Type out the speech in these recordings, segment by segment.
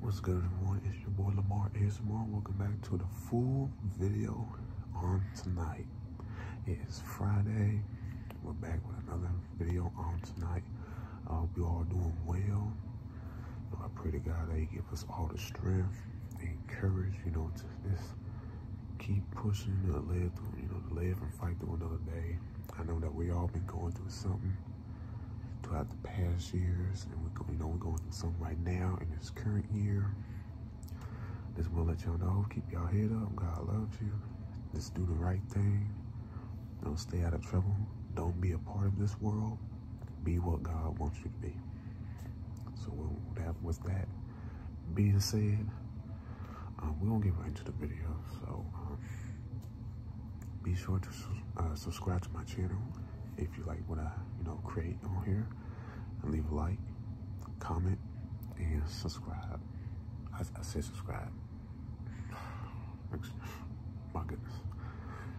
What's good everyone? It's your boy Lamar ASMR. Welcome back to the full video on tonight. It is Friday. We're back with another video on tonight. I hope you all doing well. I pray to God that He give us all the strength and courage, you know, to just keep pushing to live through, you know, to live and fight through another day. I know that we all been going through something throughout the past years, and we're going, you know, we're going through something right now in this current year. Just want to let y'all know, keep y'all head up. God loves you. Just do the right thing. Don't stay out of trouble. Don't be a part of this world. Be what God wants you to be. So that was that being said, um, we're going to get right into the video. So um, be sure to uh, subscribe to my channel if you like what I, you know, create on here, and leave a like, comment, and subscribe. I, say subscribe. My goodness.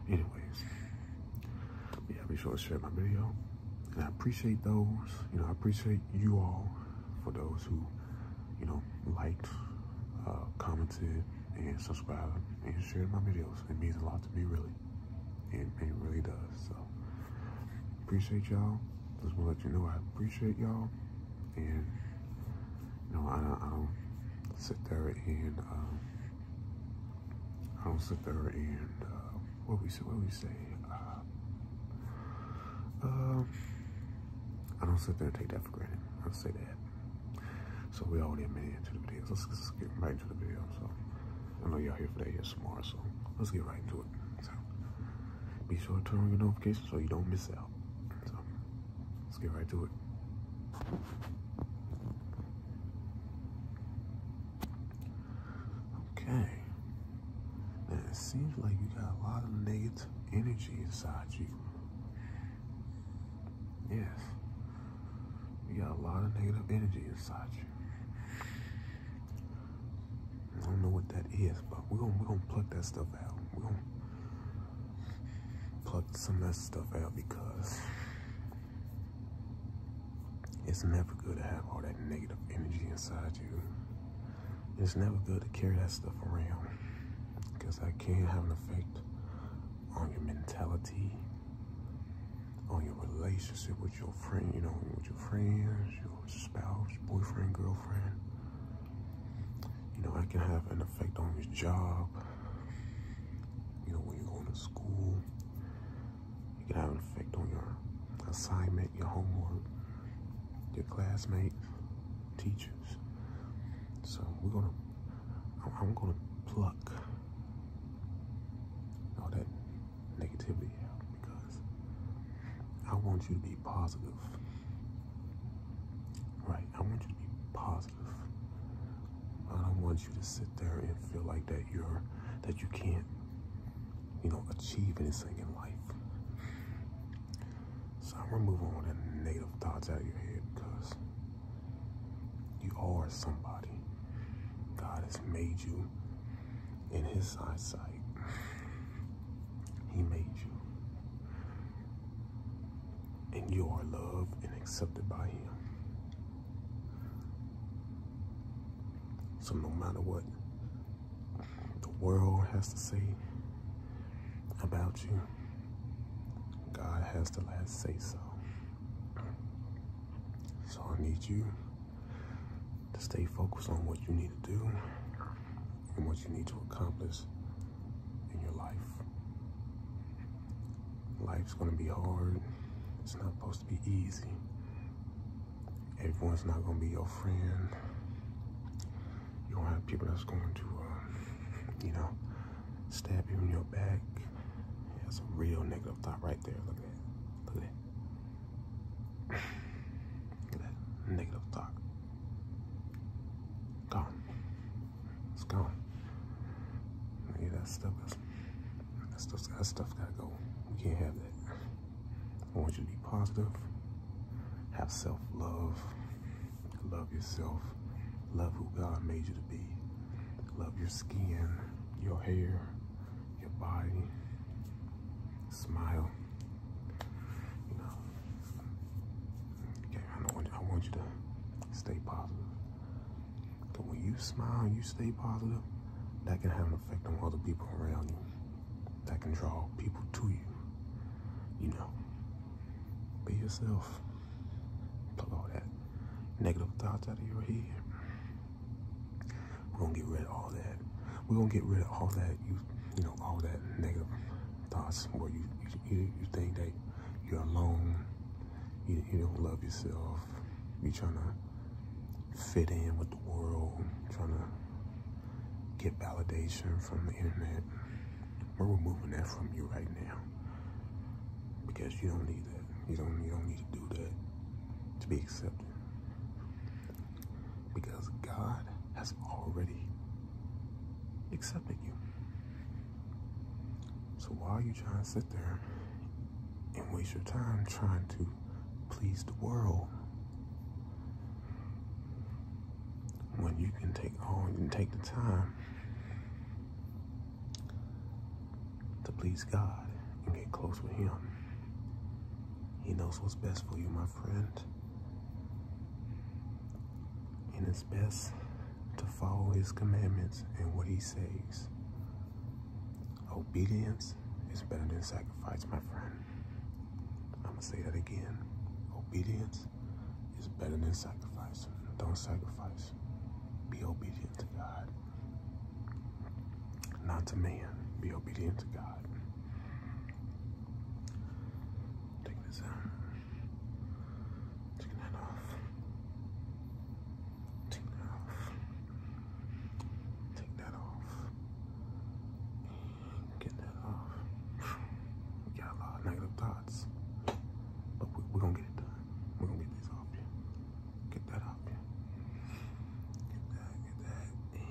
Anyways, yeah, be sure to share my video. And I appreciate those, you know, I appreciate you all for those who, you know, liked, uh, commented, and subscribed and sharing my videos. It means a lot to me, really. It, it really does. So, appreciate y'all. Just want to let you know I appreciate y'all. And, you I, don't sit there and, um, I don't sit there and, uh, what we say, what we say, uh, um, I don't sit there and take that for granted. I'll say that. So we already a minute into the video. Let's, let's get right into the video. So I know you are here for that yes tomorrow, so let's get right into it. So be sure to turn on your notifications so you don't miss out. So let's get right to it. Okay. Now it seems like you got a lot of negative energy inside you. Yes. You got a lot of negative energy inside you. I don't know what that is, but we're gonna we're pluck that stuff out. We're gonna pluck some of that stuff out because it's never good to have all that negative energy inside you. It's never good to carry that stuff around because that can have an effect on your mentality, on your relationship with your friend, you know, with your friends, your spouse, boyfriend, girlfriend. You know, it can have an effect on your job. You know, when you're going to school, it can have an effect on your assignment, your homework, your classmates, teachers. So we're gonna, I'm gonna pluck all that negativity because I want you to be positive. Right? I want you to be positive. I don't want you to sit there and feel like that you're that you can't, you know, achieve anything in life. So I'm gonna move all the negative thoughts out of your head because you are somebody. God has made you in his eyesight. He made you. And you are loved and accepted by him. So no matter what the world has to say about you, God has the last say so. So I need you to stay focused on what you need to do and what you need to accomplish in your life. Life's gonna be hard. It's not supposed to be easy. Everyone's not gonna be your friend. You're gonna have people that's going to, uh, you know, stab you in your back. that's a real negative thought right there. Look at that. Look at that. Look at that negative thought. Gone. It's gone. Yeah, that stuff is, that stuff, that stuff gotta go. We can't have that. I want you to be positive. Have self-love. Love yourself. Love who God made you to be. Love your skin your hair, your body. Smile. You know. Okay, I, want you to stay positive. Because when you smile, you stay positive, that can have an effect on other people around you. That can draw people to you. You know. Be yourself. Below that negative thoughts out of your head. We're gonna get rid of all that. We're gonna get rid of all that you you know all that negative thoughts where you you, you think that you're alone, you don't love yourself, you're trying to fit in with the world, trying to get validation from the internet. We're removing that from you right now. Because you don't need that. You don't you don't need to do that to be accepted. Because God has already accepted you. So why are you trying to sit there and waste your time trying to please the world when you can take all you can take the time to please God and get close with Him. He knows what's best for you, my friend. And it's best to follow His commandments and what He says. Obedience is better than sacrifice, my friend. I'm gonna say that again. Obedience is better than sacrifice. Don't sacrifice. Be obedient to God not to man. Be obedient to God. Take this out. Take that off. Take that off. Take that off. And that off. We got a lot of negative thoughts. But we're we going to get it done. we gonna get this off Get that out. Get that, get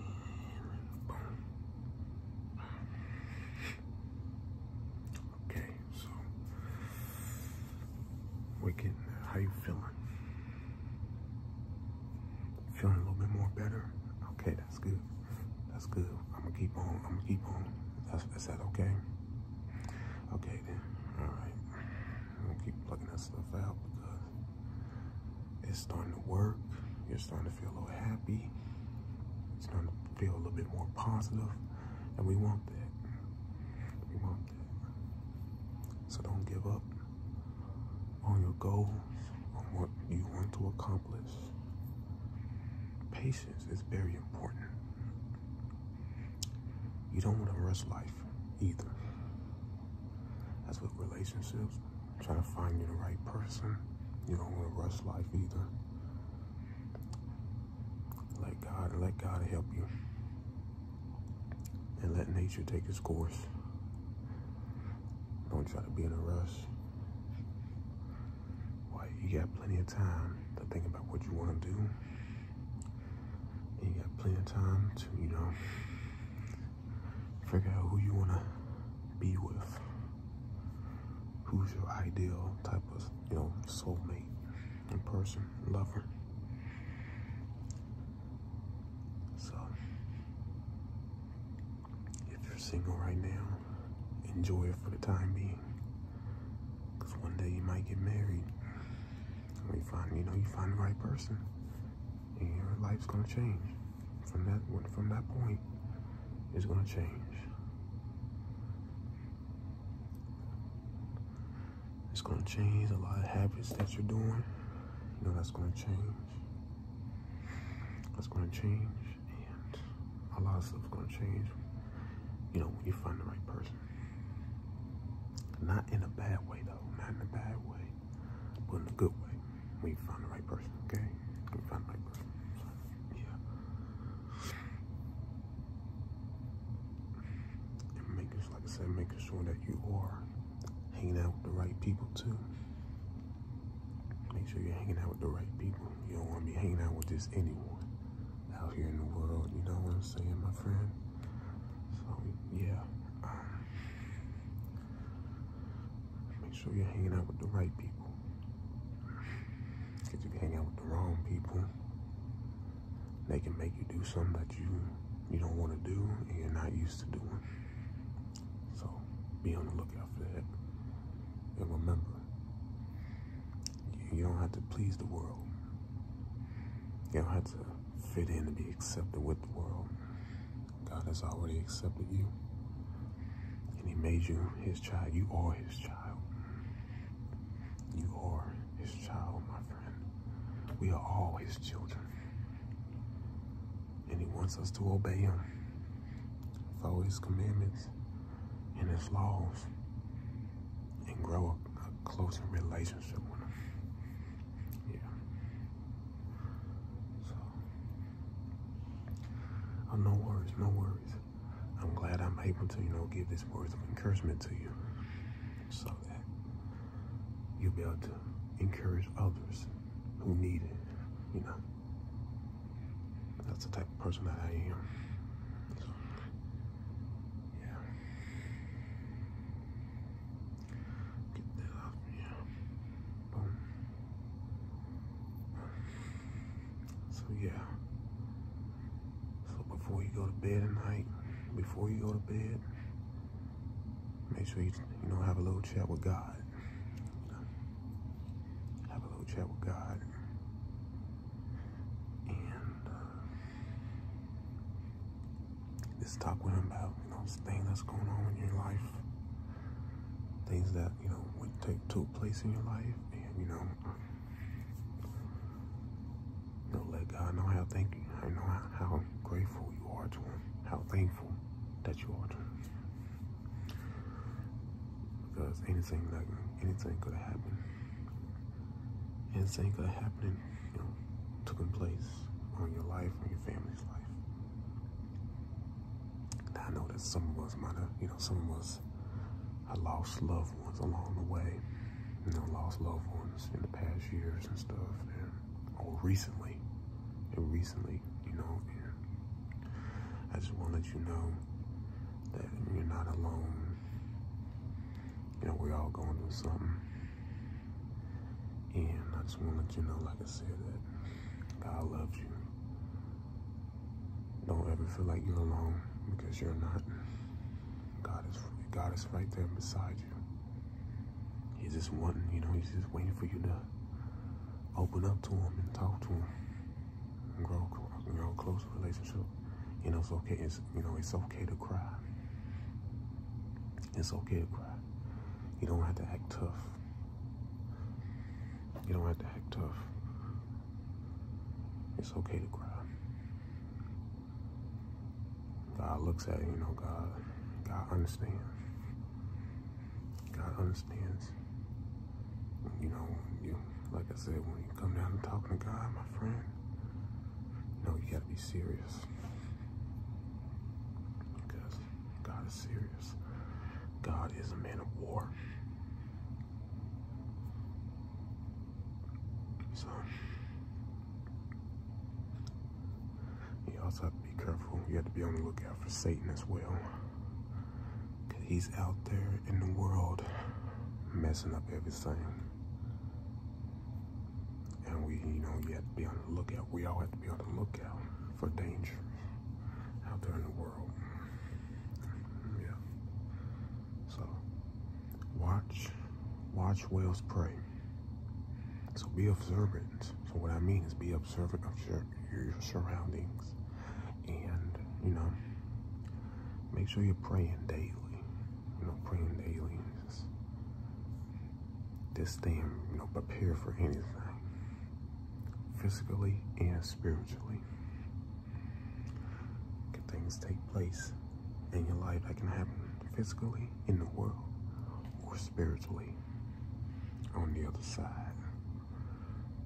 that, Okay, so we How you feeling? Feeling a little bit more better? Okay, that's good. That's good. I'm gonna keep on. I'm gonna keep on. That's, is that okay? Okay then. All right. I don't keep plugging that stuff out because it's starting to work. You're starting to feel a little happy. It's starting to feel a little bit more positive, and we want that. We want that. So don't give up on your goal, on what you want to accomplish. Patience is very important. You don't want to rush life either. That's with relationships, Trying to find you the right person. You don't want to rush life either. Let God, let God help you. And let nature take its course. Don't try to be in a rush. Why, you got plenty of time to think about what you want to do you got plenty of time to, you know, figure out who you want to be with. Who's your ideal type of, you know, soulmate and person, lover. So, if you're single right now, enjoy it for the time being. Because one day you might get married you find, you know, you find the right person, and your life's gonna change. From that, from that point, it's gonna change. It's gonna change a lot of habits that you're doing. You know, that's gonna change. That's gonna change, and a lot of stuff's gonna change. You know, when you find the right person. Not in a bad way though, not in a bad way, but in a good way. We find the right person, okay? We find the right person. yeah. And making, like I said, making sure that you are hanging out with the right people too. Make sure you're hanging out with the right people. You don't want to be hanging out with just anyone out here in the world. You know what I'm saying, my friend? So, yeah make sure you're hanging out with the right people. Because if you are hanging out with the wrong people, they can make you do something that you you don't want to do and you're not used to doing. So be on the lookout for that. And remember, you don't have to please the world. You don't have to fit in to be accepted with the world. God has already accepted you. And he made you his child. You are his child. You are his child, my friend. We are all his children. And he wants us to obey him. Follow his commandments and his laws. And grow a, a closer relationship with him yeah. So, oh, no worries, no worries. I'm glad I'm able to, you know, give this words of encouragement to you, so that you'll be able to encourage others who need it. You know, that's the type of person that I am. yeah. So yeah. So before you go to bed at night, before you go to bed, make sure you you know have a little chat with God. Have a little chat with God. And uh, just talk with him about, you know, things that's going on in your life. Things that, you know, would take took place in your life and you know you know, let God know how thank I know how, grateful you are to him, how thankful that you are to him. Because anything like anything could have happened. Anything could happen. happened been, taking place on your life or your family's life. I know that some of us might you know, some of us have lost loved ones along the way. You know, lost loved ones in the past years and stuff, and or recently, and recently, you know. I just want to let you know that you're not alone. You know, we're all going through something. And I just want to let you know, like I said, that God loves you. Don't ever feel like you're alone because you're not. God is God is right there beside you. He's just wanting, you know, he's just waiting for you to open up to him and talk to him grow, grow a close relationship. You know, it's okay. It's you know, it's okay to cry. It's okay to cry. You don't have to act tough. You don't have to act tough. It's okay to cry. God looks at you, know, God, God understands. God understands. You know, you like I said, when you come down and talking to God, my friend, you know you gotta be serious. Because God is serious. God is a man of war. So you also have to be careful. You have to be on the lookout for Satan as well. Cause he's out there in the world messing up everything. And we, you know, we have to be on the lookout. We all have to be on the lookout for danger out there in the world. Yeah. So watch, watch whales pray. So be observant. So what I mean is be observant of your, surroundings, and you know, make sure you're praying daily. You know, praying daily this thing, you know, prepared for anything, physically and spiritually. Can things take place in your life that can happen physically in the world or spiritually on the other side?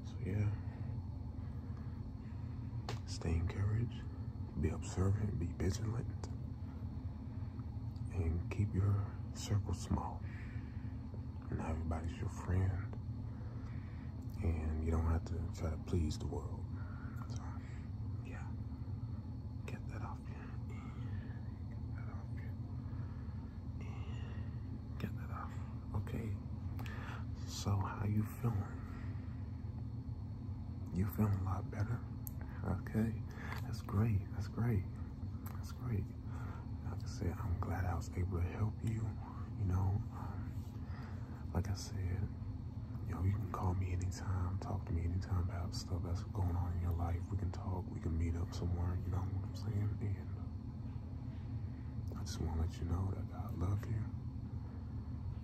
So, yeah. Stay encouraged, be observant, be vigilant, and keep your circle small. And everybody's your friend. And you don't have to try to please the world. yeah. Get that off you. Get that off you. Get that off. Okay. So, how you feeling? You feeling a lot better? Okay. That's great. That's great. That's great. Like I said, I'm glad I was able to help you. You know, um, like I said, you know, you can call me anytime, talk to me anytime about stuff that's going on in your life. We can talk, we can meet up somewhere, you know what I'm saying? And I just want to let you know that I love you.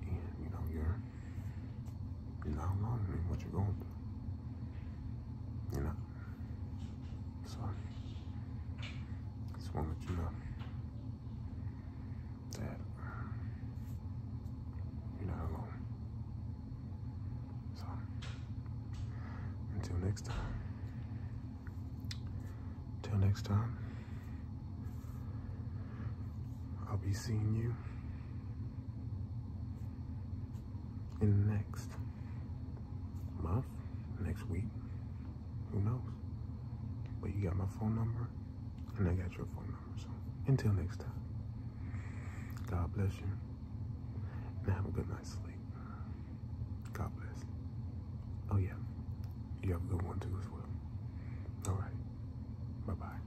And, you know, you're, you're not alone in what you're going through. You know, so, just want to know that you're not alone. So, until next time, until next time, I'll be seeing you in next month, next week, who knows? But you got my phone number, and I got your phone number. So until next time, God bless you, and have a good night's sleep. God bless. Oh yeah, you have a good one too as well. All right, bye bye.